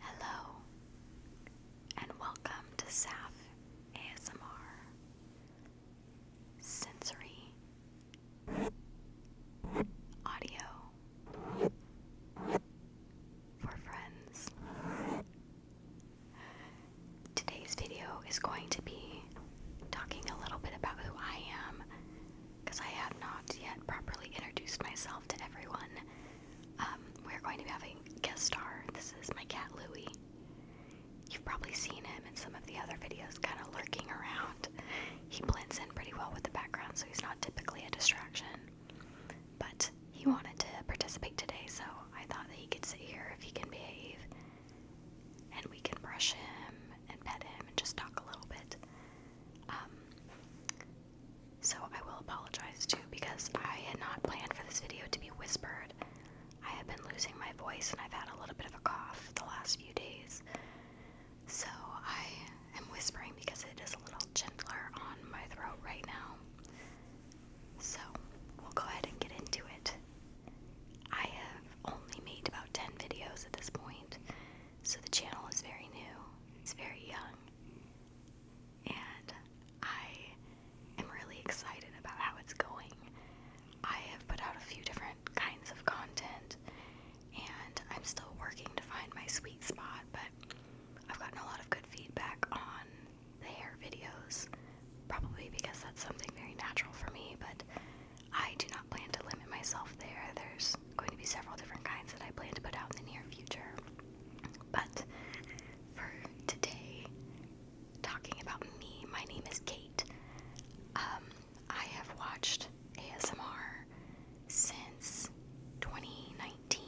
Hello, and welcome to SAF ASMR Sensory Audio for Friends. Today's video is going to be talking a little bit about who I am because I have not yet properly introduced myself to everyone. Um, we're going to be having guest star. This is my cat Louie. You've probably seen him in some of the other videos, kind of lurking around. He blends in pretty well with the background, so he's not typically a distraction. But he wanted to participate today, so I thought that he could sit here if he can behave, and we can brush him and pet him and just talk a little bit. Um, so I will apologize too because I had not planned for this video to be whispered. I have been losing my voice and I've had a little bit of a cough the last few days. So I am whispering because it is a little gentler on my throat right now. So we'll go ahead and get into it. I have only made about 10 videos at this point, so the channel is very new, it's very young and I am really excited about how it's going. I have put out a few different kinds of content, and I'm still working to find my sweet spot, but I've gotten a lot of good feedback on the hair videos, probably because that's something very natural for me, but I do not plan to limit myself there. There's going to be several different kinds that I plan to put out in the near future. But for today, talking about me, my name is Kate. Um, I have watched ASMR since 2019.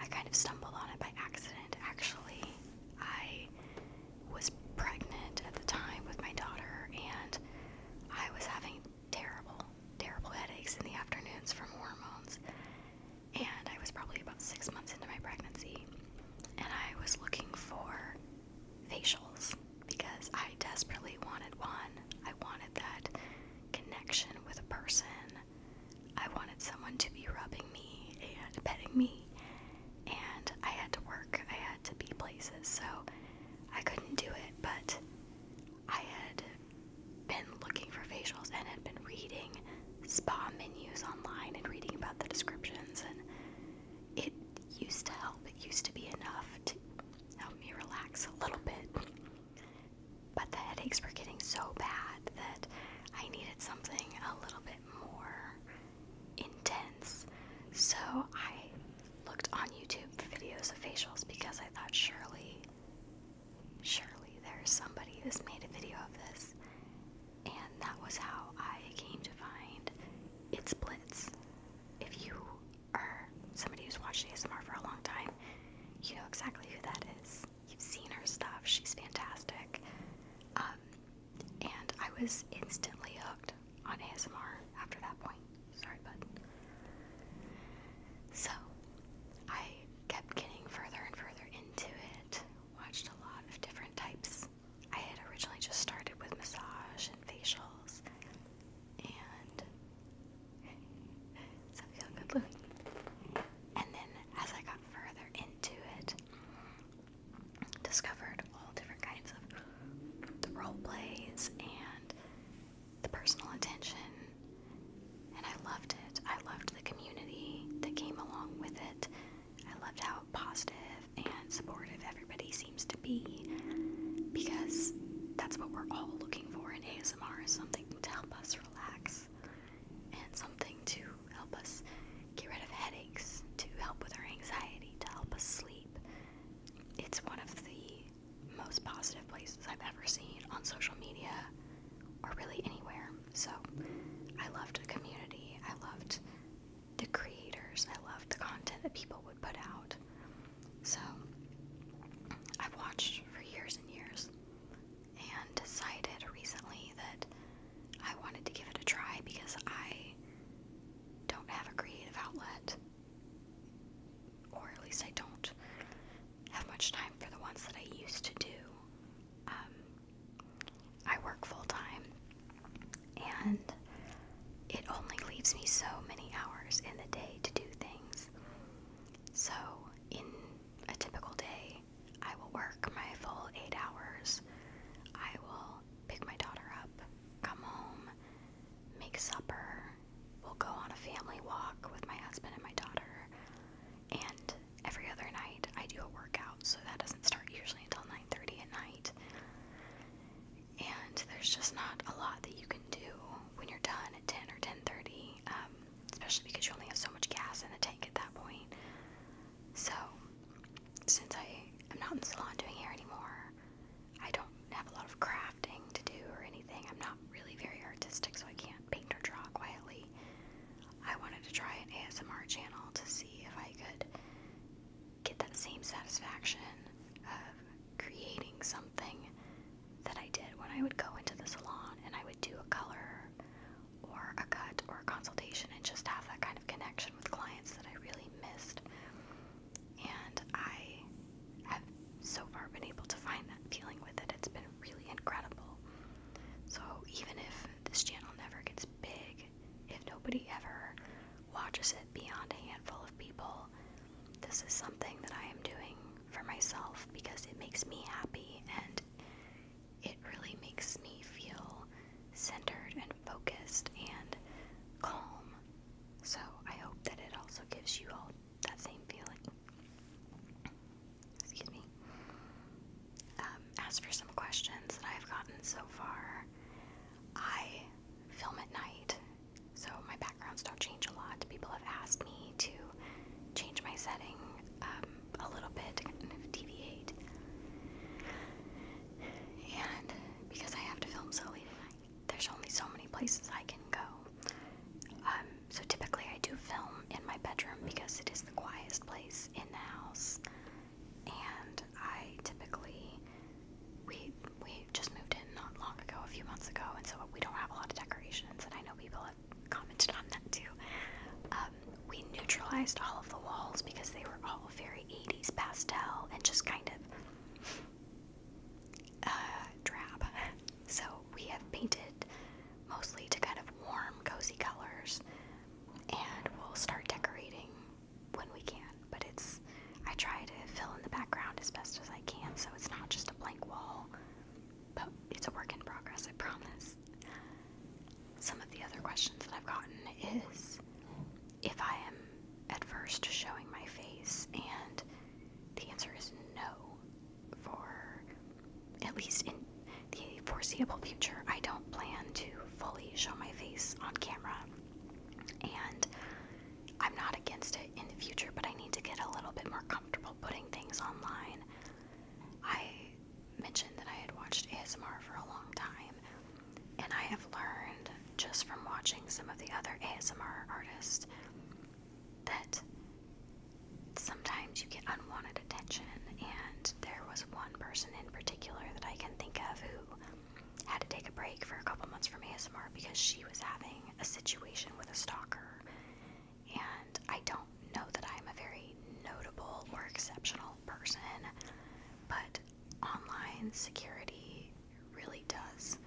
I kind of stumbled on it by accident, actually. I was pregnant at the time with my daughter, and I was having terrible, terrible headaches in the afternoons from hormones. And I was probably about six months into my pregnancy, and I was looking for facials because I desperately wanted one. I wanted that connection with a person. I wanted someone to be rubbing me and petting me, and I had to work, I had to be places, so I couldn't do it, but I had been looking for facials and had been reading spa menus online and reading about the descriptions and it used to help. It used to be enough to help me relax a little bit. But the headaches were getting so bad that I needed something a little bit more intense. So I looked on YouTube for videos of facials because I thought surely Surely there's somebody who's made a video of this. And that was how I came to find It's Blitz. If you are somebody who's watched ASMR for a long time, you know exactly who that is. You've seen her stuff, she's fantastic. Um, and I was instantly hooked on ASMR after that point. Sorry, bud. So I kept getting further and further into it, watched a lot of different types. I had originally just started with massage and facials and so feel good look. And then as I got further into it, discovered all different kinds of role plays and the personal attention, and I loved it. I loved the community that came along with it. I loved how positive and supportive everybody seems to be because that's what we're all looking for in ASMR something to help us relax and something to help us get rid of headaches, to help with our anxiety, to help us sleep. It's one of the most positive places I've ever seen on social media or really anywhere. So I loved the community. I loved the creators. I loved the content that people would put out. So I've watched for years and years and decided recently that I wanted to give it a try because I don't have a creative outlet or at least I don't have much time for the ones that I used to do. Um, I work full time, and it only leaves me so many hours in the day to do things. So, in a typical day, I will work my full eight hours. I will pick my daughter up, come home, make supper, we'll go on a family walk with my husband and my daughter. And every other night I do a workout, so that doesn't start usually until 9:30 at night. And there's just not a lot that you can do when you're done at 10 or 10:30, um, especially because you only have so much gas in the tank at that point. So, since I am not in the salon doing hair anymore, I don't have a lot of crafting to do or anything. I'm not really very artistic, so I can't paint or draw quietly. I wanted to try an ASMR channel to see if I could get that same satisfaction of creating something that I did when I would go into the salon and I would do a color or a cut or a consultation and just have that kind of connection with clients that I really missed. And I have so far been able to find that feeling with it. It's been really incredible. So, even if this channel never gets big, if nobody ever watches it beyond a handful of people, this is something that I am doing for myself because it makes me happy and it really makes me feel centered and focused and calm. So, I hope that it also gives you all that same feeling. Excuse me. Um, as for some questions that I've gotten so far, I film at night, so my backgrounds don't change a lot. People have asked me to change my setting um, a little bit to deviate. And because I have to film so late at night, there's only so many places I can go. Um, so typically I do film in my bedroom because it is the quietest place in the house. And I typically we we just moved in not long ago, a few months ago, and so we don't have a lot of decorations. And I know people have commented on that too. Um, we neutralized all of the walls because they were all very 80s pastel and just kind of uh, drab. So we have painted mostly to kind of warm, cozy colors, and we'll start decorating when we can. But it's, I try to fill in the background as best as I can so it's not just a blank wall, but it's a work in progress, I promise. Some of the other questions that I've gotten is if I am at first showing my face, and the answer is no for at least in the foreseeable future, I don't plan to fully show my face on camera. And I'm not against it in the future, but I need to get a little bit more comfortable putting things online. I mentioned that I had watched ASMR for a long time, and I have learned just from watching some of the other ASMR artists that sometimes you get unwanted attention, and there was one person in particular that I can think of who had to take a break for a couple months from ASMR because she was having a situation with a stalker. And I don't know that I'm a very notable or exceptional person, but online security really does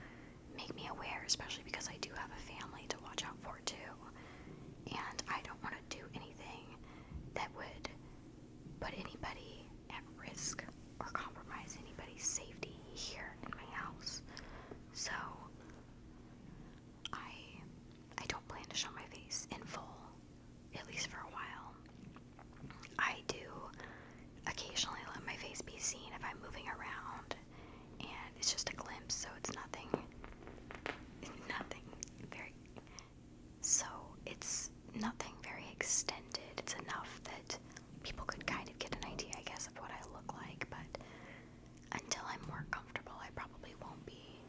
make me aware, especially because I do have a family to watch out for too and I don't want to do anything that would put anybody at risk or compromise anybody's safety here in my house. So I I don't plan to show my face in full, at least for a while. I do occasionally let my face be seen if I'm moving around and it's just a glimpse, so it's nothing. Nothing very. So it's nothing very extended. It's enough that people could kind of get an idea, I guess, of what I look like, but until I'm more comfortable, I probably won't be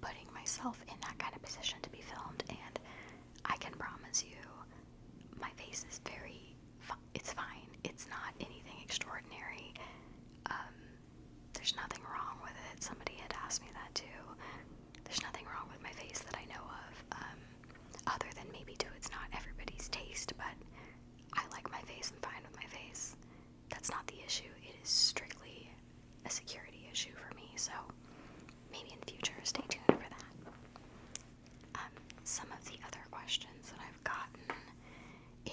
putting myself in that kind of position to be filmed. And I can promise you, my face is very. Fun it's fine. It's not anything extraordinary. Um, there's nothing wrong with it. Somebody had asked me that too. There's nothing wrong with my face that I know of, um, other than maybe to it's not everybody's taste, but I like my face. I'm fine with my face. That's not the issue. It is strictly a security issue for me. So maybe in future, stay tuned for that. Um, some of the other questions that I've gotten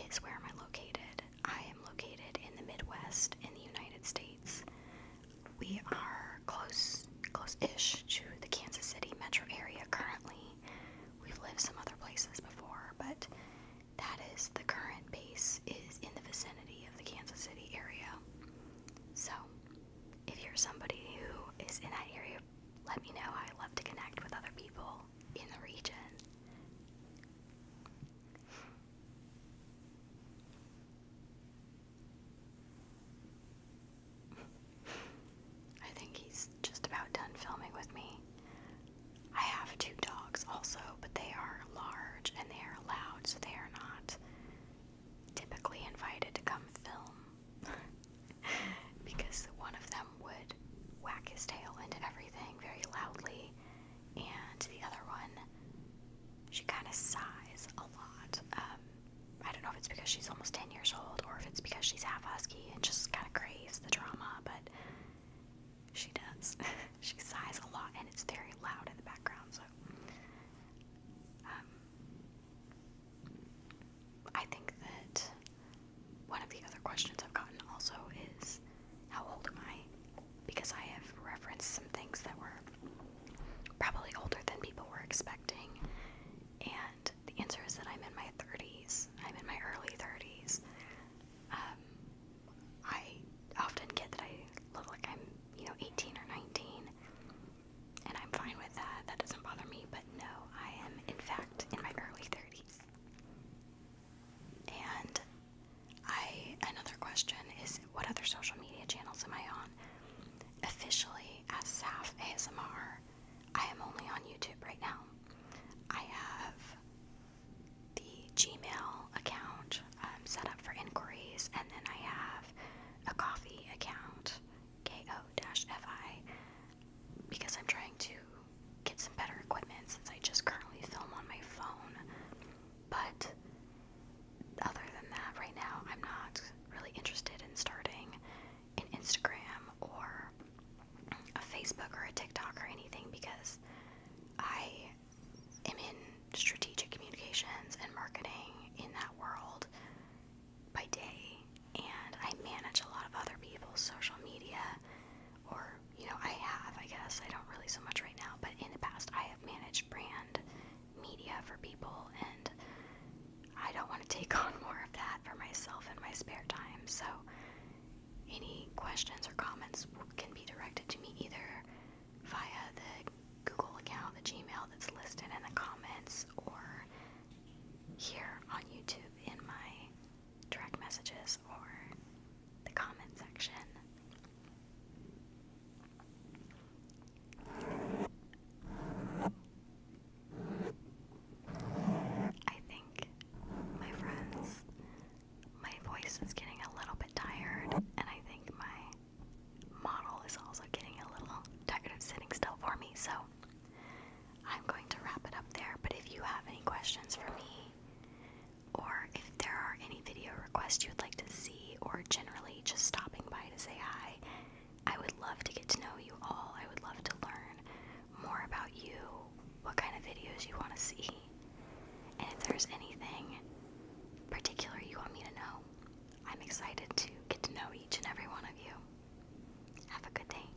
is where am I located? I am located in the Midwest in the United States. We are close, close-ish to the Kansas City metro area currently. We've lived some other places before, but that is the current base is in the vicinity of the Kansas City area. So, if you're somebody who is in that area, let me know. I love to connect with other people in the region. I think he's just about done filming with me. I have two dogs also, but they are large and they are loud, so they are not typically invited to come film because one of them would whack his tail into everything very loudly, and the other one, she kind of sighs a lot. Um, I don't know if it's because she's almost 10 years old or if it's because she's half husky and just kind of craves the drama, but she does. she sighs a lot and it's very loud in the background, so. Um, I think that one of the other questions I've gotten also is how old am I? Because I have referenced some things that were probably older than people were expecting. And the answer is that I'm in my 30s. I'm in my early 30s. Um, I often get that I look like I'm, you know, 18 or 19, and I'm fine with that. That doesn't bother me, but no, I am, in fact, in my early 30s. And I another question is what other social media channels am I on? Officially as Saf ASMR, I am only on YouTube right now. I have the Gmail account um, set up for inquiries, and then I have a coffee account, ko-fi, because I'm trying to get some better equipment since I just currently film on my phone. But other than that, right now I'm not really interested in starting an Instagram or a Facebook or a TikTok or anything because I am in strategic communications and marketing in that world by day and I manage a lot of other people's social media or you know I have I guess I don't really so much right now but in the past I have managed brand media for people and I don't want to take on more of that for myself in my spare time so any questions or comments can be directed to me either via the Google account the Gmail that's listed in the comments or here on YouTube in my direct messages or the comment section. I think, my friends, my voice is getting a little bit tired, and I think my model is also getting a little tired of sitting still for me, so I'm going to wrap it up there, but if you have any questions for me, or if there are any video requests you would like to see, or generally just stopping by to say hi, I would love to get to know you all. I would love to learn more about you, what kind of videos you want to see, and if there's anything particular you want me to know, I'm excited to get to know each and every one of you. Have a good day.